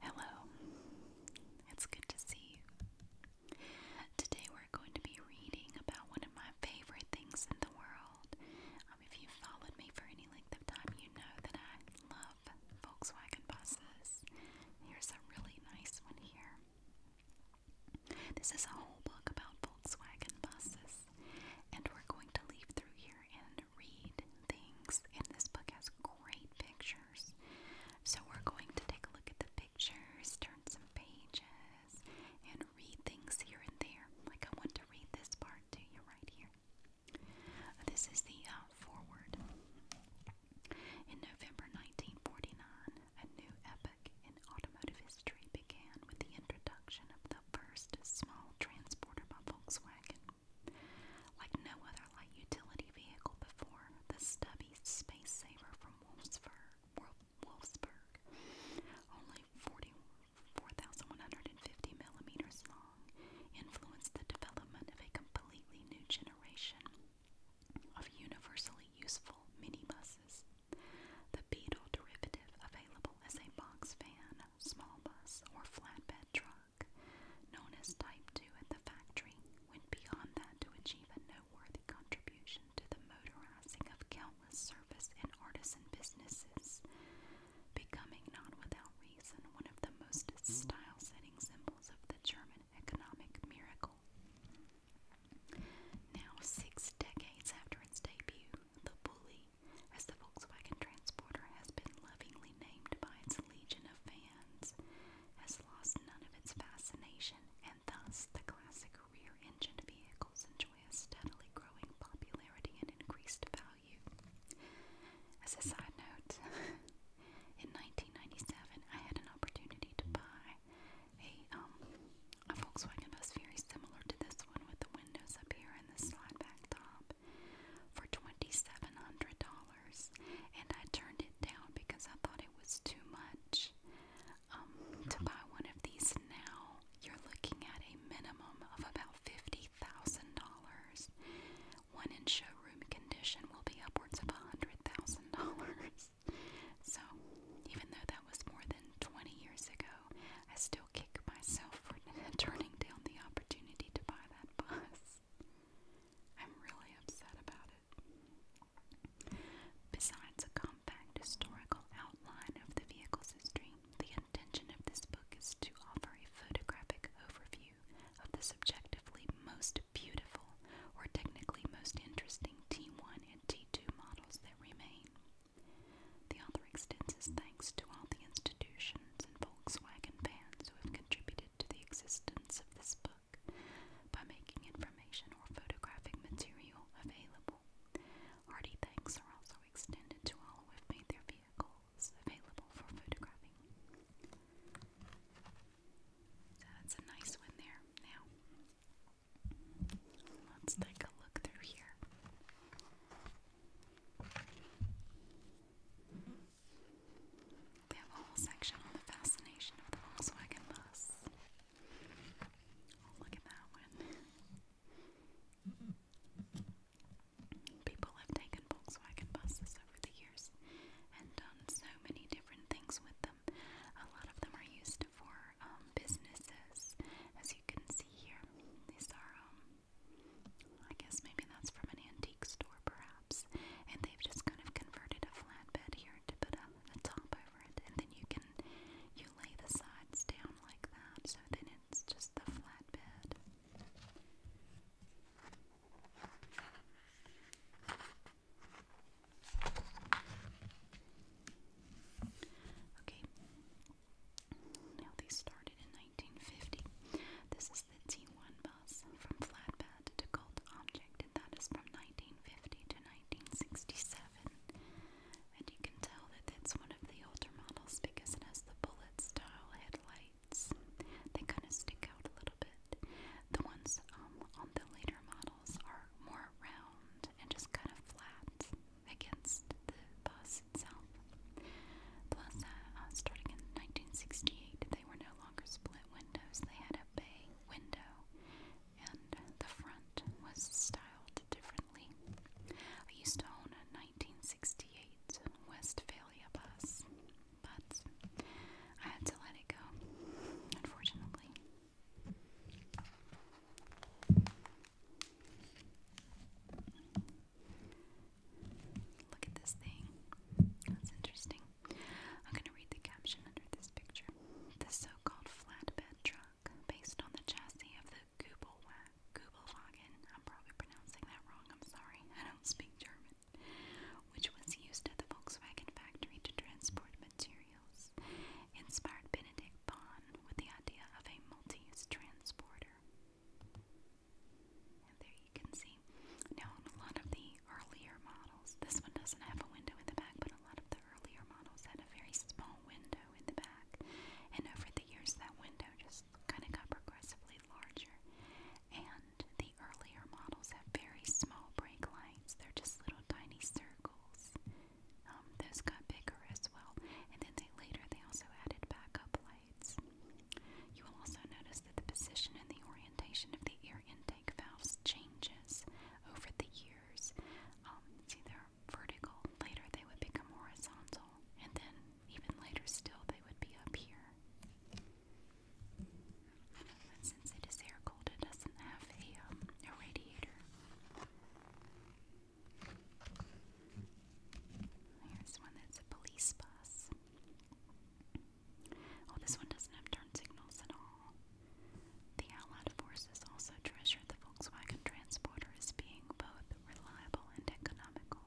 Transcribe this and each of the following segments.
Hello, it's good to see you. Today we're going to be reading about one of my favorite things in the world. Um, if you've followed me for any length of time, you know that I love Volkswagen buses. Here's a really nice one here. This is a whole book about Volkswagen buses, and we're going to leave through here in read things, and this book has great pictures. So, we're going to take a look at the pictures, turn some pages, and read things here and there. Like, I want to read this part to you right here. This is the uh, forward. In November 1949, a new epoch in automotive history began with the introduction of the first small transporter by Volkswagen. Like no other light utility vehicle before, the stubby Space Saver from Wolfsburg, only 44,150 millimeters long, influenced the development of a completely new generation of universally useful minibuses. The Beetle derivative, available as a box van, small bus, or flatbed truck, known as Type 2 at the factory, went beyond that to achieve a noteworthy contribution to the motorizing of countless service and artisan businesses, becoming not without reason one of the most style-setting symbols of the German economic miracle. Now, six decades after its debut, the Bully. As the Volkswagen Transporter has been lovingly named by its legion of fans, has lost none of its fascination, and thus the classic rear-engine vehicles enjoy a steadily growing popularity and increased value. As a side note, in 1997, I had an opportunity to buy a um a Volkswagen very similar to this one with the windows up here and the slide back top for $2,700, and I turned it down because I thought it was too much. Um, to mm-hmm. buy one of these now, you're looking at a minimum of about $50,000. One in showroom condition will be upwards of $100,000. So, even though that was more than 20 years ago, I still kick myself for turning down the opportunity to buy I'm really upset about it. Besides a compact historical outline of the vehicle's history, the intention of this book is to offer a photographic overview of the subjectively most beautiful or technically most interesting T1 and T2 models that remain. The author extends his thanks to all the institutions friends and Volkswagen fans who have contributed to the existence of this book by making information or photographic material available. Hearty thanks are also extended to all who have made their vehicles available for photographing. that's a nice one there. Now, let's take a look through here. They have a whole section on the fascination of the Volkswagen bus. Oh, look at that one. People have taken Volkswagen buses over the years and done so many different things with them. A lot of them are used for um, businesses, as you can see here. These are um, I guess maybe that's from an antique store, perhaps. And they've just kind of converted a flatbed here to put a, a top over it, and then you can you lay the sides down like that, so then it's just the flatbed. Okay. Now, these started in 1950. This is the T1 bus from flatbed to Gold object, and that is from 1950 to 1967. And you can tell that that's one of the older models because it has the bullet style headlights. They kind of stick out a little bit. The ones um, on the later models are more round and just kind of flat against the bus Plus, uh, uh, starting in 1968, they were no longer split windows. They had a bay window, and the front was styled differently. I used to own a 1968 Westphalia bus, but I had to let it go, unfortunately. Look at this thing. That's interesting. I'm going to read the caption under this picture. The so called flatbed truck, based on the chassis of the Gubelwagen, I'm probably pronouncing that wrong, I'm sorry, I don't speak German, which was used at the Volkswagen factory to transport materials, inspired Benedict Bonn with the idea of a multi transporter. And there you can see. Now, on a lot of the earlier models, this one doesn't have a window in the back, but a lot of the earlier models had a very small window in the back. And over the years, that window just kind of got progressively larger. And the earlier models have very small brake lights, they're just little tiny circles. Um, those got bigger as well. And then later they also added backup lights. You will also notice that the position and the orientation of the air intake valves changes over the years. Um, see, they're vertical. Later, they would become horizontal. And then, even later still, they would be up here. But since it is air cooled, it doesn't have a um, radiator. Here's one that's a police bus. Oh, this one doesn't have turn signals at all. The Allied forces also treasured the Volkswagen Transporter as being both reliable and economical.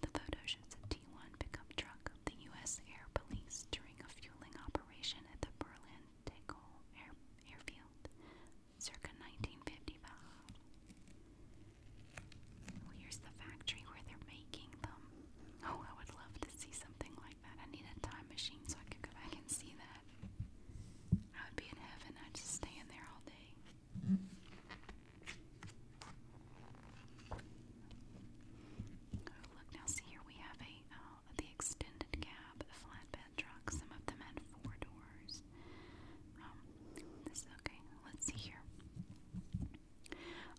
The photo shows a T1 pickup truck of the U.S. Air Police during a fueling operation at the Berlin Tegel Air Airfield circa 1955. Oh, here's the factory where they're making them. Oh, I would love to see something like that. I need a time machine so I could go back and see that. I would be in heaven. I'd just stay in there all day. Oh, look now. See here, we have a uh, the extended cab, the flatbed truck. Some of them had four doors. Um, this okay. Let's see here.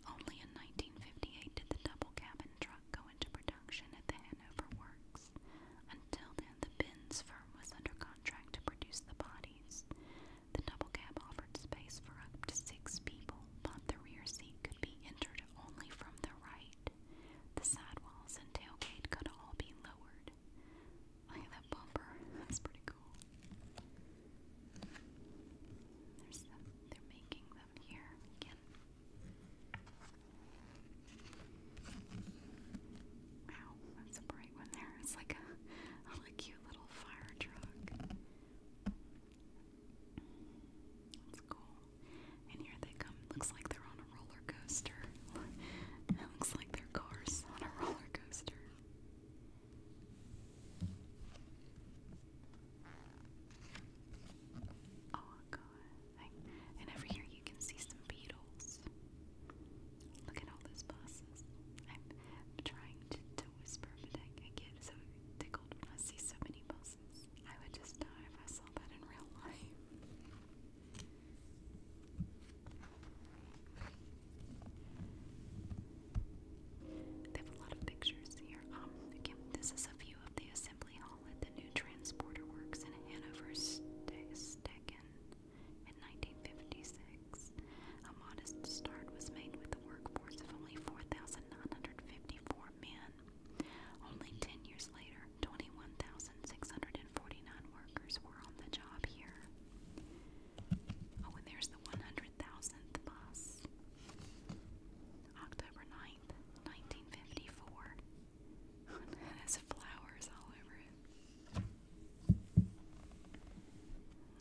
Only in 1958 did the double cabin truck go into production at the Hanover Works. Until then, the Benz firm was under contract to produce the bodies. The double cab offered space for up to six people, but the rear seat could be entered only from the right. The side walls and tailgate could all be lowered. Look at that bumper. That's pretty cool. There's them. They're making them here again. Wow, that's a bright one there. It's like a, cute little fire truck. That's cool. And here they come. Looks like they're on a roller coaster. it looks like they cars on a roller coaster. Oh god. and over here you can see some beetles. Look at all those buses. I'm trying to, whisper, but I get so tickled when I see so many buses. I would just die if I saw that in real life. They have a lot of pictures here. Um, this is a view of the assembly hall at the new transporter works in Hanover, Stecken in 1956. A modest start was made with a workforce of only 4,954 men. Only 10 years later, 21,649 workers were on the job here. Oh, and there's the 100,000th bus. October 9th, 1954. it has flowers all over it.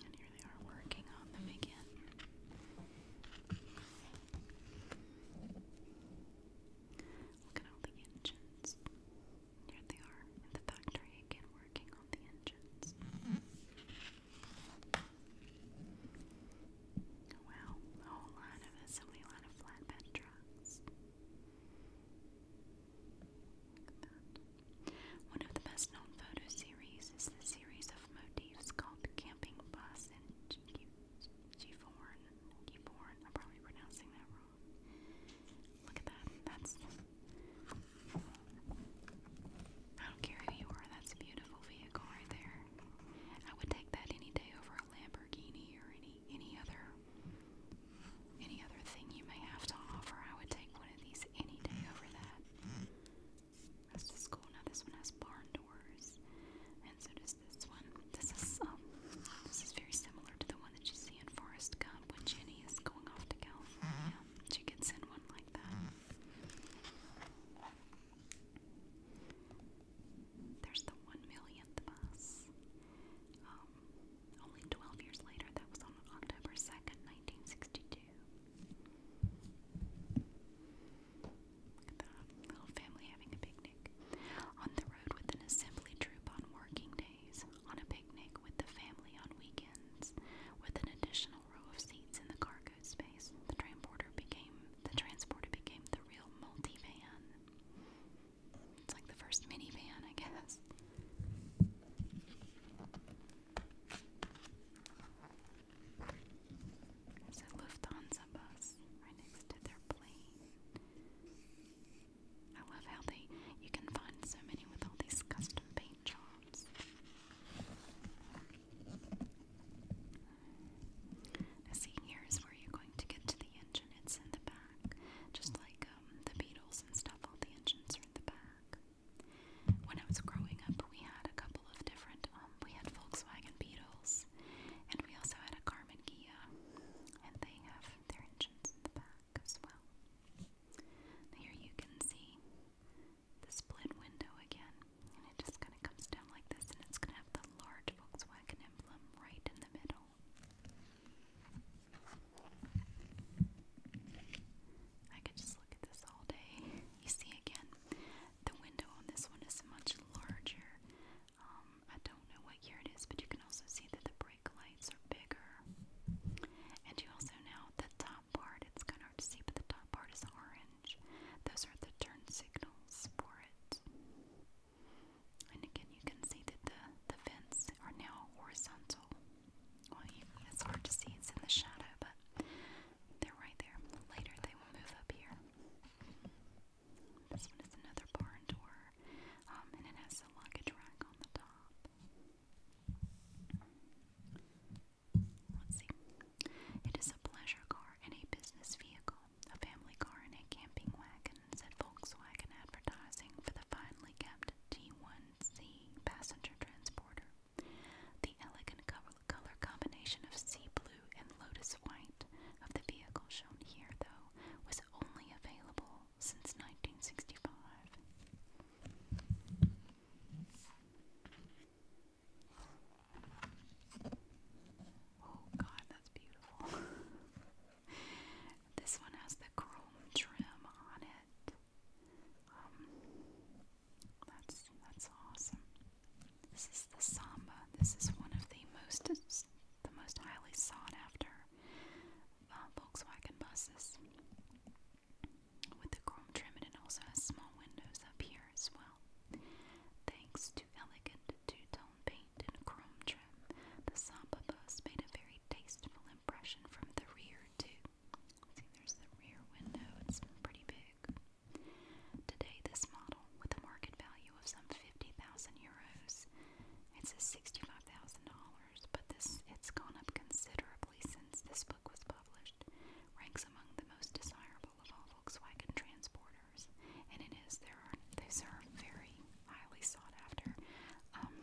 And here they are working on them again. Look at all the engines. Here they are in the factory again working on the engines. Wow, a whole lot of assembly, a lot of flatbed trucks. One of the best known photo series is the series of motifs called Camping Bus in G 4 I'm probably pronouncing that wrong. Look at that. That's I don't care who you are, that's a beautiful vehicle right there. I would take that any day over a Lamborghini or any any other any other thing you may have to offer. I would take one of these any day over that. That's just cool. Now this one has barn doors, and so does this one. This is um, this is very similar to the one that you see in Forrest Gump when Jenny is going off to California. She gets in one like that. There's the one millionth bus. Um, only 12 years later, that was on October 2nd, 1962. little family having a picnic. On the road with an assembly troop on working days, on a picnic with the family on weekends, with an additional row of seats in the cargo space, the transporter became the transporter became the real multivan. It's like the first minivan, I guess. There's Lufthansa bus right next to their plane. I love how they you can find so many with all these custom paint jobs sounds. Now see, here's where you're going to get to the engine. It's in the back. Just like um, the Beatles and stuff, all the engines are in the back. When I was growing up, we had a couple of different, um, we had Volkswagen Beetles, and we also had a Carmen Ghia, and they have their engines in the back as well. Now here you can see the split window again, and it just kind of comes down like this, and it's going to have the large Volkswagen emblem right in the middle. I could just look at this all day. You see again, the window on this one is much larger. Um, I don't know what year it is, but you can also see that the brake lights are bigger. And you also know the top part, it's gonna to see, but the top part is orange. Those are the turn signals for it. And again, you can see that the, the vents are now horizontal. Well, it's hard to see, it's in the shadow, but they're right there. Later, they will move up here. This one is another barn door, um, and it has a luggage rack on the top. Let's see. It is a pleasure car and a business vehicle, a family car and a camping wagon, said Volkswagen advertising for the finely kept T1C passenger transporter. The elegant color combination of sea blue and lotus white of the vehicle shown here, though, was only available since 1965. Oh god, that's beautiful. this one has the chrome trim on it. Um, that's that's awesome. This is the samba. This is one of the most the most highly sought after uh, Volkswagen buses with the chrome trim, and it also has small windows up here as well. Thanks to elegant two-tone paint and chrome trim, the Samba bus made a very tasteful impression from the rear too. See, there's the rear window; it's pretty big. Today, this model, with a market value of some fifty thousand euros, it's a sixty-five thousand dollars, but this it's gone up considerably probably since this book was published, ranks among the most desirable of all Volkswagen transporters, and it is there are these are very highly sought after. Um,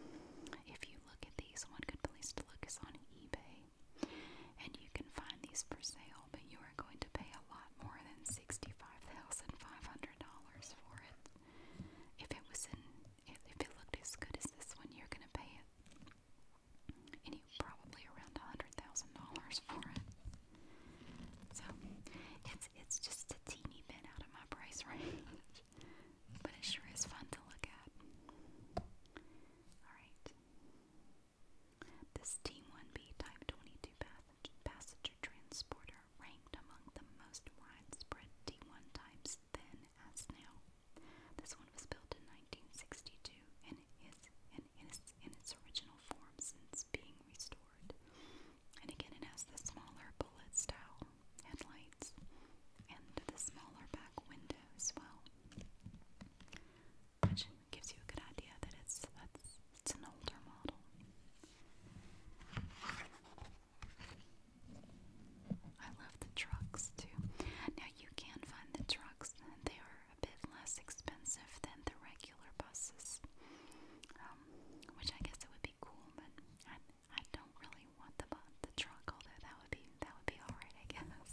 if you look at these, one good place to look is on eBay, and you can find these for sale, but you are going to pay a lot more than sixty-five thousand five hundred dollars for it. If it was in, if, if it looked as good as this one, you're going to pay it and you probably around a hundred thousand dollars for it. So it's it's just a teeny bit out of my price range, but it sure is fun to look at. All right, this T1B Type 22 passenger transporter ranked among the most widespread T1 types then as now. This one was built in 1962 and is and is in its original form since being restored. And again, it has the smaller bullet style headlights and the smaller back window as well, which gives you a good idea that it's that's it's an older model. I love the trucks too. Now you can find the trucks; they are a bit less expensive than the regular buses, um, which I guess it would be cool, but I, I don't really want the the truck, although that would be that would be all right, I guess.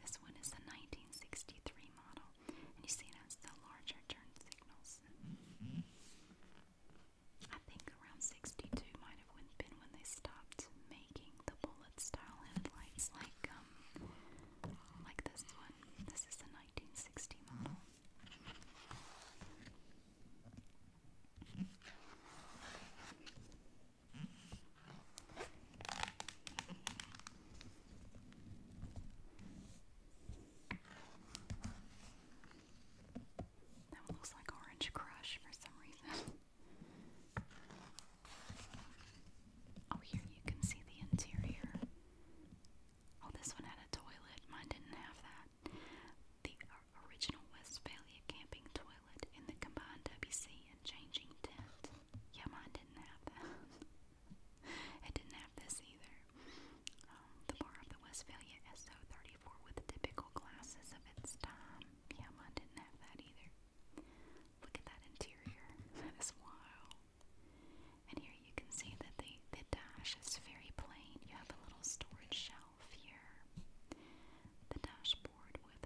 This one is a 1963 model, and you see it has the larger turn signals. I think around 62 might would have been when they stopped making the bullet style headlights like um like this one. This is the 1960 model. That one looks like Orange Crush for some reason. Oh, here you can see the interior. Oh, this one had a toilet. Mine didn't have that. The original Westphalia camping toilet in the combined WC and changing tent. Yeah, mine didn't have that. it didn't have this either. Um, the bar of the Westphalia SO34 with typical glasses of its time. Yeah, mine didn't have that either. Look at that interior. That is wild. And here you can see that the, the dash is very plain. You have a little storage shelf here. The dashboard with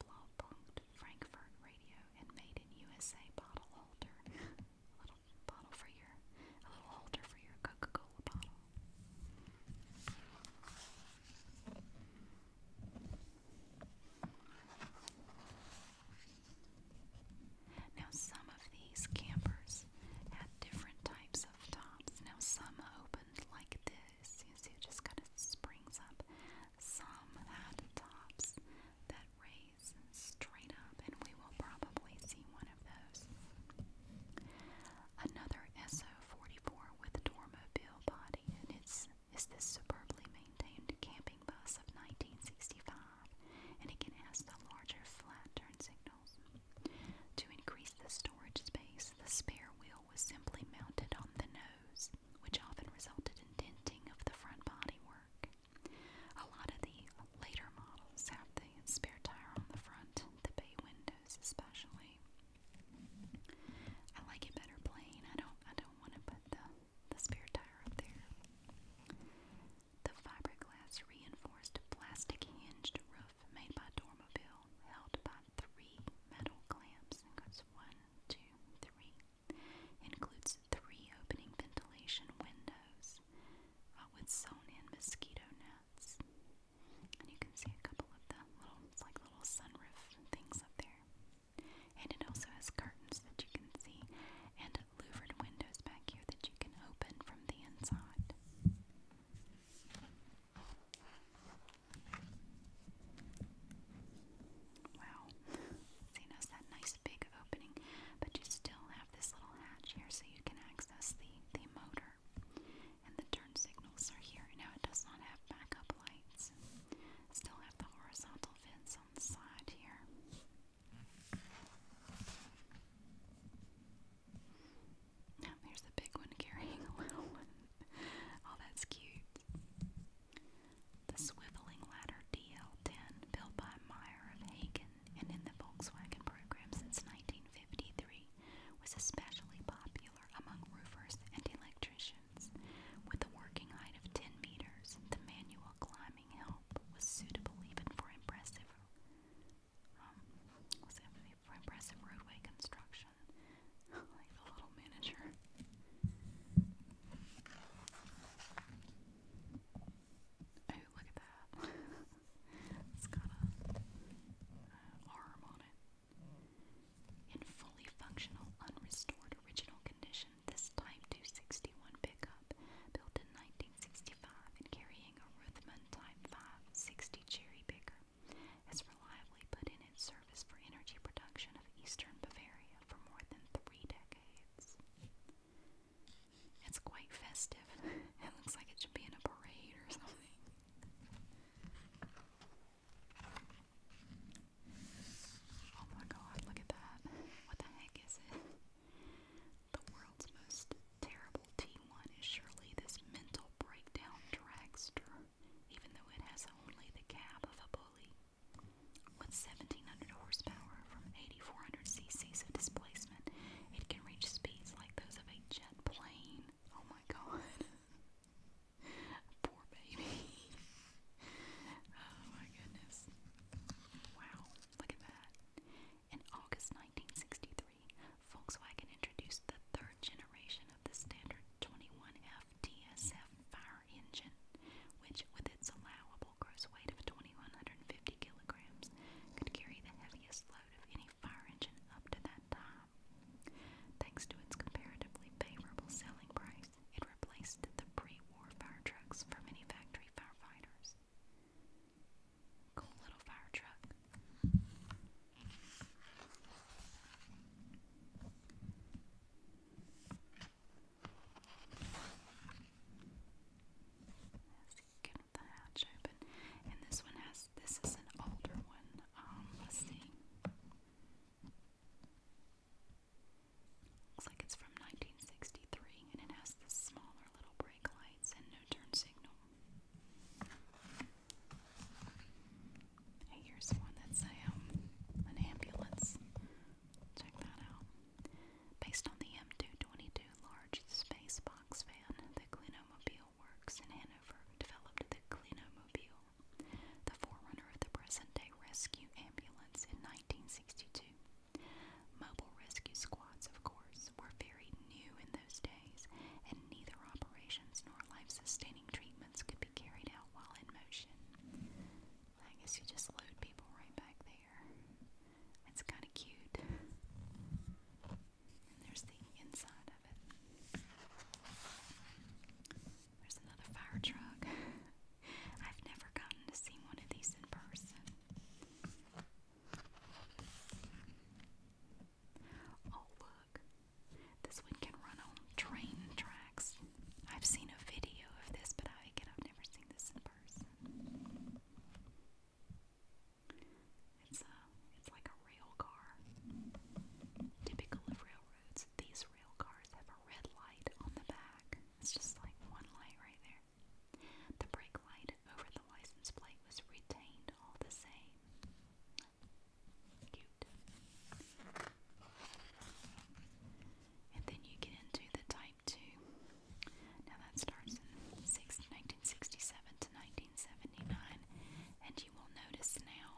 Blaupunkt Frankfurt radio and made in USA bottle holder. a little bottle for your, a little holder for your Coca-Cola bottle. Now, some of these campers had different types of tops. Now, some opened like this. You see, it just kind of springs up. Some had tops that raise straight up, and we will probably see one of those. Another SO44 with a dormobile body, and it's is this superbly maintained camping bus of 1965, and it can ask the larger flat turn signals. To increase the storage space, the spare wheel was simply mounted on the nose, which often resulted in denting of the front bodywork. A lot of the later models have the spare tire on the front, the bay windows especially. I like it better plain. I don't I don't want to put the the spare tire up there. The fiberglass reinforced plastic hinged roof made by Dormobile held by three metal clamps and one, two, three. Includes three opening ventilation windows uh, with sewn in mosquito nets. And you can see a couple of the little, like little sunroof things up there. And it also has curtains that you can see and louvered windows back here that you can open from the inside. Wow. See, now that nice big opening, but you still have this little hatch here so you can access the, the motor. And the turn signals are here. Now it does not have backup lights. Still have the horizontal vents on the side here. Now the big one carrying a little one. Oh, that's cute. The swiveling ladder DL10, built by Meyer of Hagen and in the Volkswagen program since 1953, was especially popular among roofers and electricians. With a working height of 10 meters, the manual climbing help was suitable even for impressive um, for impressive roadway construction. like the little miniature. Oh, look at that. it's got a uh, arm on it. In fully functional, unrestored original condition, this Type 261 pickup, built in 1965 and carrying a Ruthman Type 560 cherry picker, has reliably put in its service for energy production of eastern Bavaria for more than three decades. It's quite festive. It looks like it should be in a parade or something. Oh my god, look at that. What the heck is it? The world's most terrible T1 is surely this mental breakdown dragster, even though it has only the cab of a bully. With 1700 horsepower from 8400 cc's of displacement, it can reach speeds like those of a jet plane. Oh my god. Oh, In August 1963, Volkswagen introduced the third generation of the standard 21F fire engine, which, with its allowable gross weight of 2150 kilograms, could carry the heaviest load of any fire engine up to that time. Thanks to its comparatively favorable selling price, it replaced the pre-war fire trucks for many factory firefighters. Cool little fire truck. Let's get the hatch open. And this one has this is an older one. Um, let's see. Looks like it's from 1963 and it has the smaller little brake lights and no turn signal. here's one that's um, an ambulance. Check that out. Based on the M222 large space box van, the Clinomobile works in Hanover developed the Clinomobile the forerunner of the present-day rescue ambulance in 1962. Mobile rescue squads, of course, were very new in those days, and neither operations nor life-sustaining treatments could be carried out while in motion. I guess you just load people right back there. It's kind of cute. And there's the inside of it. There's another fire truck. I've never gotten to see one of these in person. Oh, look. This one can run on train tracks. I've seen a video of this, but I, have never seen this in person. It's a, uh, it's like a rail car. Typical of railroads, these rail cars have a red light on the back. It's just like one light right there. The brake light over the license plate was retained all the same. Cute. And then you get into the Type 2. Now that starts in 1967 to 1979, and you will notice now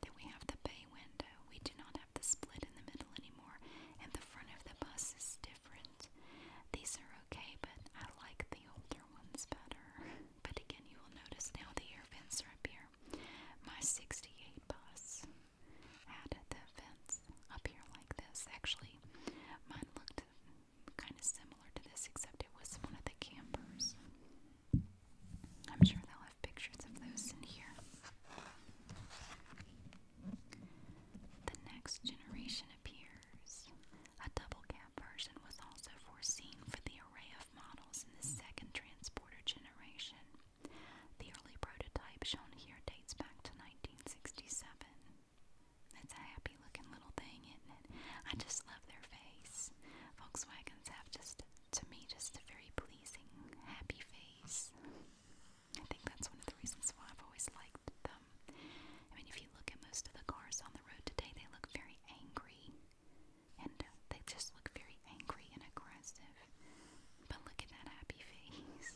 then we have the bay window. We do not have the split in the middle anymore, and the front of the bus is different. These are okay, but I like the older ones better. But again, you will notice now the air vents are up here. My 68 bus had the vents up here like this. Actually, mine looked kind of similar to this, except it was one of the campers. I'm sure they'll pictures of those in here. The next generation appears. A double cab version was also foreseen for the array of models in the second transporter generation. The early prototype shown here dates back to 1967. It's a happy looking little thing, isn't it? I just love their face. Volkswagens have just to me just a very pleasing, happy face. I think that's one of the reasons why I've always liked them. I mean, if you look at most of the cars on the road today, they look very angry. And uh, they just look very angry and aggressive. But look at that happy face.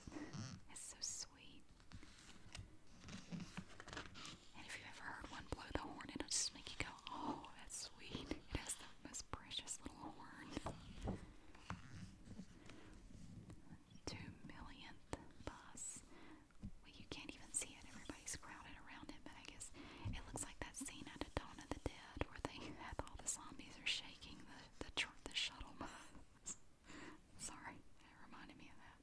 It's so sweet. And if you ever heard one blow the horn, it'll just make you go, oh, that's sweet most precious little horn. Two millionth bus. Well, you can't even see it. Everybody's crowded around it, but I guess it looks like that scene out of Dawn of the Dead where they have all the zombies are shaking the the, shuttle bus. Sorry, that reminded me of that.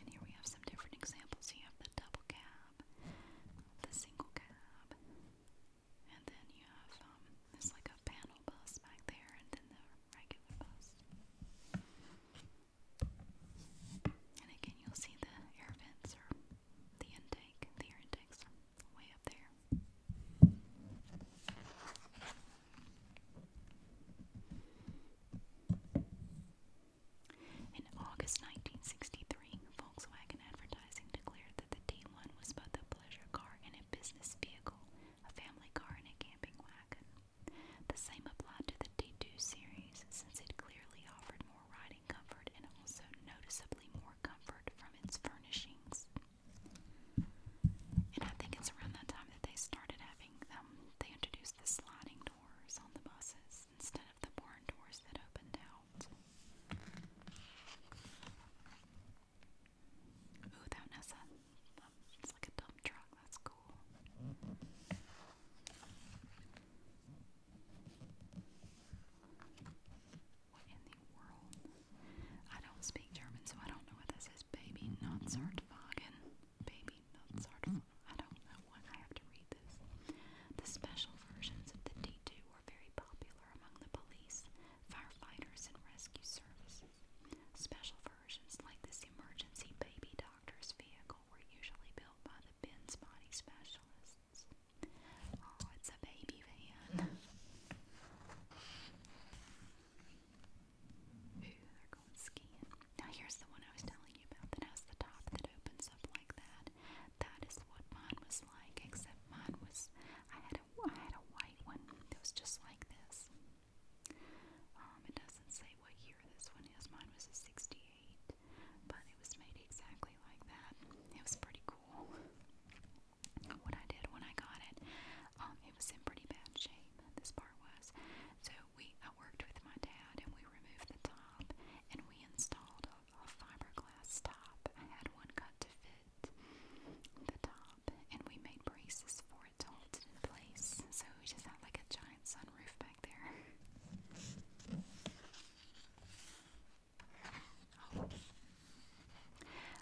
And here we have some different examples. You have the double cab, the single cab, and then you have um, like a panel bus back there, and then the regular bus. And again, you'll see the air vents or the intake. The air intakes way up there. In August 1963, Volkswagen Advertising declared that the T1 was both a pleasure car and a business vehicle, a family car and a camping wagon. The same applied to the T2 series, since it clearly offered more riding comfort and also noticeably more comfort from its furnishings. And I think it's around that time that they started having them. Um, they introduced the sliding doors on the buses instead of the barn doors that opened out. Ooh, that has it's like a dump truck, that's cool. What in the world? I don't speak German, so I don't know what this is. Baby Nutzartwagen. Baby Nutzartwagen. I don't know when I have to read this. The special versions of the D2 were very popular among the police, firefighters, and rescue services. Special versions like this emergency baby doctor's vehicle were usually built by the Ben's body specialists. Oh, it's a baby van. Ooh, going skiing. Now here's the one I was telling you about that has the top that opens up like that. That is what mine was like, except mine was I had a I had a white one that was just like this. Um, it doesn't say what year this one is. Mine was a '68, but it was made exactly like that. It was pretty cool. What I did when I got it, um, it was in pretty bad shape. This part was, so we I worked with my dad and we removed the top and we installed a, fiberglass top. I had one cut to fit the top and we made braces for it to hold it in place. So we just had like a giant sunroof back there.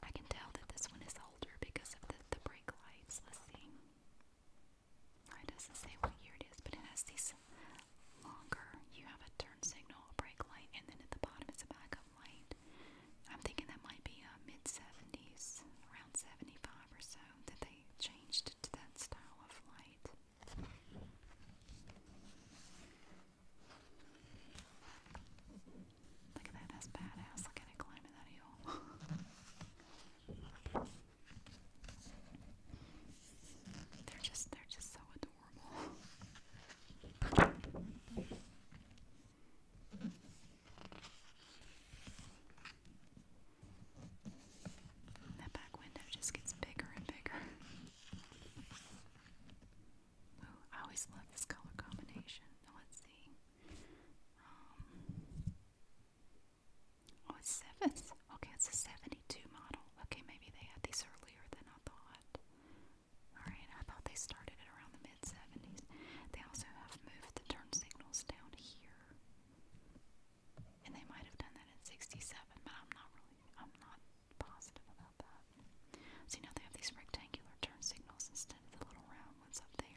I can tell that this one is older because of the brake lights. Let's see. It doesn't say what year it is, but it has these longer. You have a turn signal, a brake light, and then at the bottom it's a backup light. I'm thinking that might be a mid 70s, around 75 or so, that they changed to that style of light. Look at that, that's badass. Look at it climbing that hill. They're just they're just so adorable. That back window just gets bigger and bigger. I always love this color combination. let's see. Um, Oh, it's seven. Okay, it's a 72 model. Okay, maybe they had these earlier than I thought. Alright, I thought they started at around the mid 70s. They also have moved the turn signals down here. And they might have done that in 67, but I'm not really, I'm not positive about that. So now they have these rectangular turn signals instead of the little round ones up there.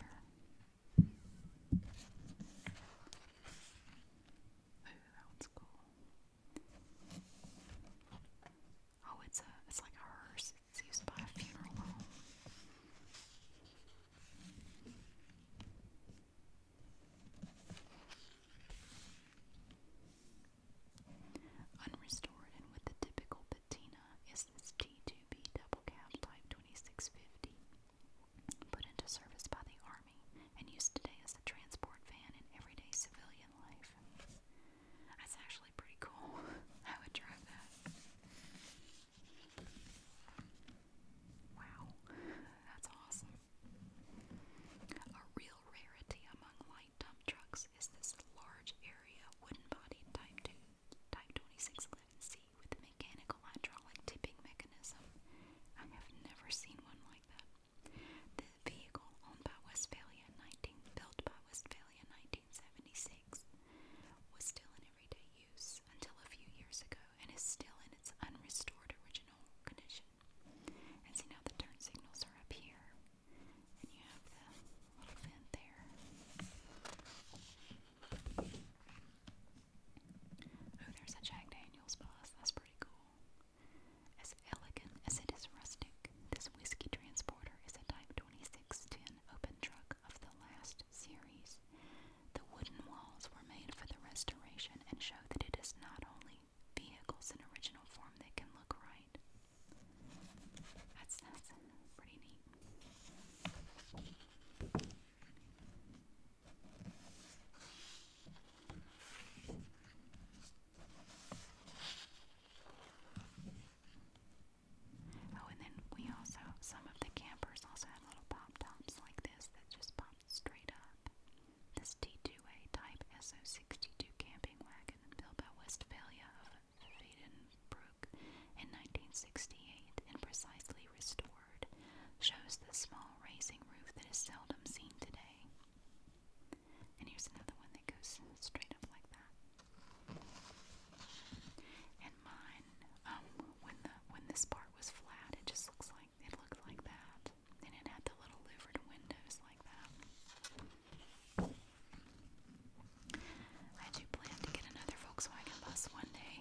that one's cool. Oh, it's a it's like a hearse. It's used by a funeral home. Unrestored and with the typical patina is this T2B double cab type 2650 put into service by the Army and used today as a transport van in everyday civilian life. That's actually pretty cool. I would drive that. Wow, that's awesome. A real rarity among light dump trucks is this large area wooden body type 2, type 2611C with a mechanical hydraulic tipping mechanism. I have never seen one like that. The vehicle owned by Westphalia in 19, built by Westphalia in 1976 was still in everyday use until a few years ago and is still in its unrestored original condition. And see now the turn signals are up here and you have the little vent there. Oh, there's a Jack Daniels bus. That's pretty cool. As elegant as it is rustic, this whiskey transporter is a Type 2610 open truck of the last series. The wooden walls were made for the restoration and show that it is not only vehicles in original form that can look right. That's, that's pretty neat. Oh, and then we also, some of the campers also had little pop tops like this that just popped straight up. This T2A Type SO62 camping wagon built by Westphalia of Friedenbrook in 1968 and precisely restored shows the small raising roof that is seldom seen today. And here's another one that goes straight up like that. And mine, um, when the when this part was flat, it just looks like it looked like that, and it had the little louvered windows like that. I do plan to get another Volkswagen bus one day,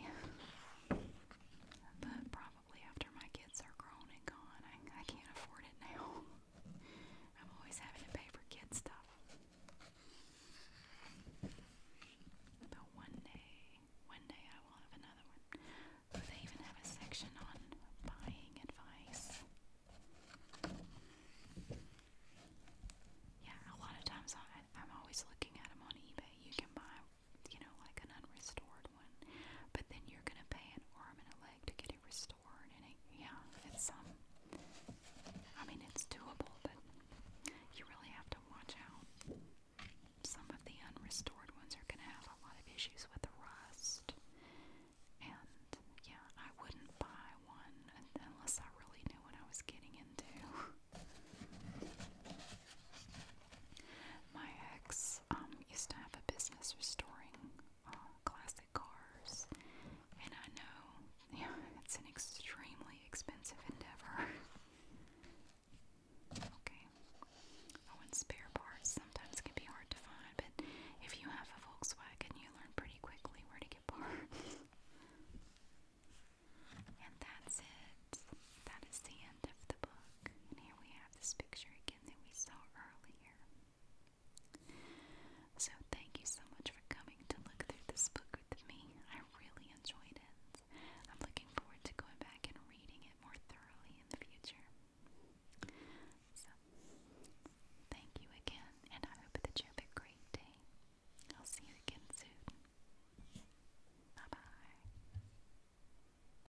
but probably after my kids are grown and gone. I, I can't afford it now. I'm always having to pay for kid stuff. But one day, one day I will have another one. Oh, they even have a section on buying advice. Yeah, a lot of times I, I'm always looking at them on eBay. You can buy you know, like an unrestored one. But then you're going to pay an arm and a leg to get it restored. And it, yeah, it's, um, I mean, it's doable, but you really have to watch out. Some of the unrestored ones are going to have a lot of issues with the rust. And yeah, I wouldn't buy one unless I really knew what I was getting into my ex um, used to have a business restoring uh, classic cars, and I know yeah, it's an extremely expensive endeavor. okay. Oh, and spare parts sometimes can be hard to find, but if you have a Volkswagen, you learn pretty quickly where to get parts. and that's it. That is the end of the book. And here we have this picture again that we saw earlier. So, thank you so much for coming to look through this book with me. I really enjoyed it. I'm looking forward to going back and reading it more thoroughly in the future. So, thank you again, and I hope that you have a great day. I'll see you again soon. Bye bye.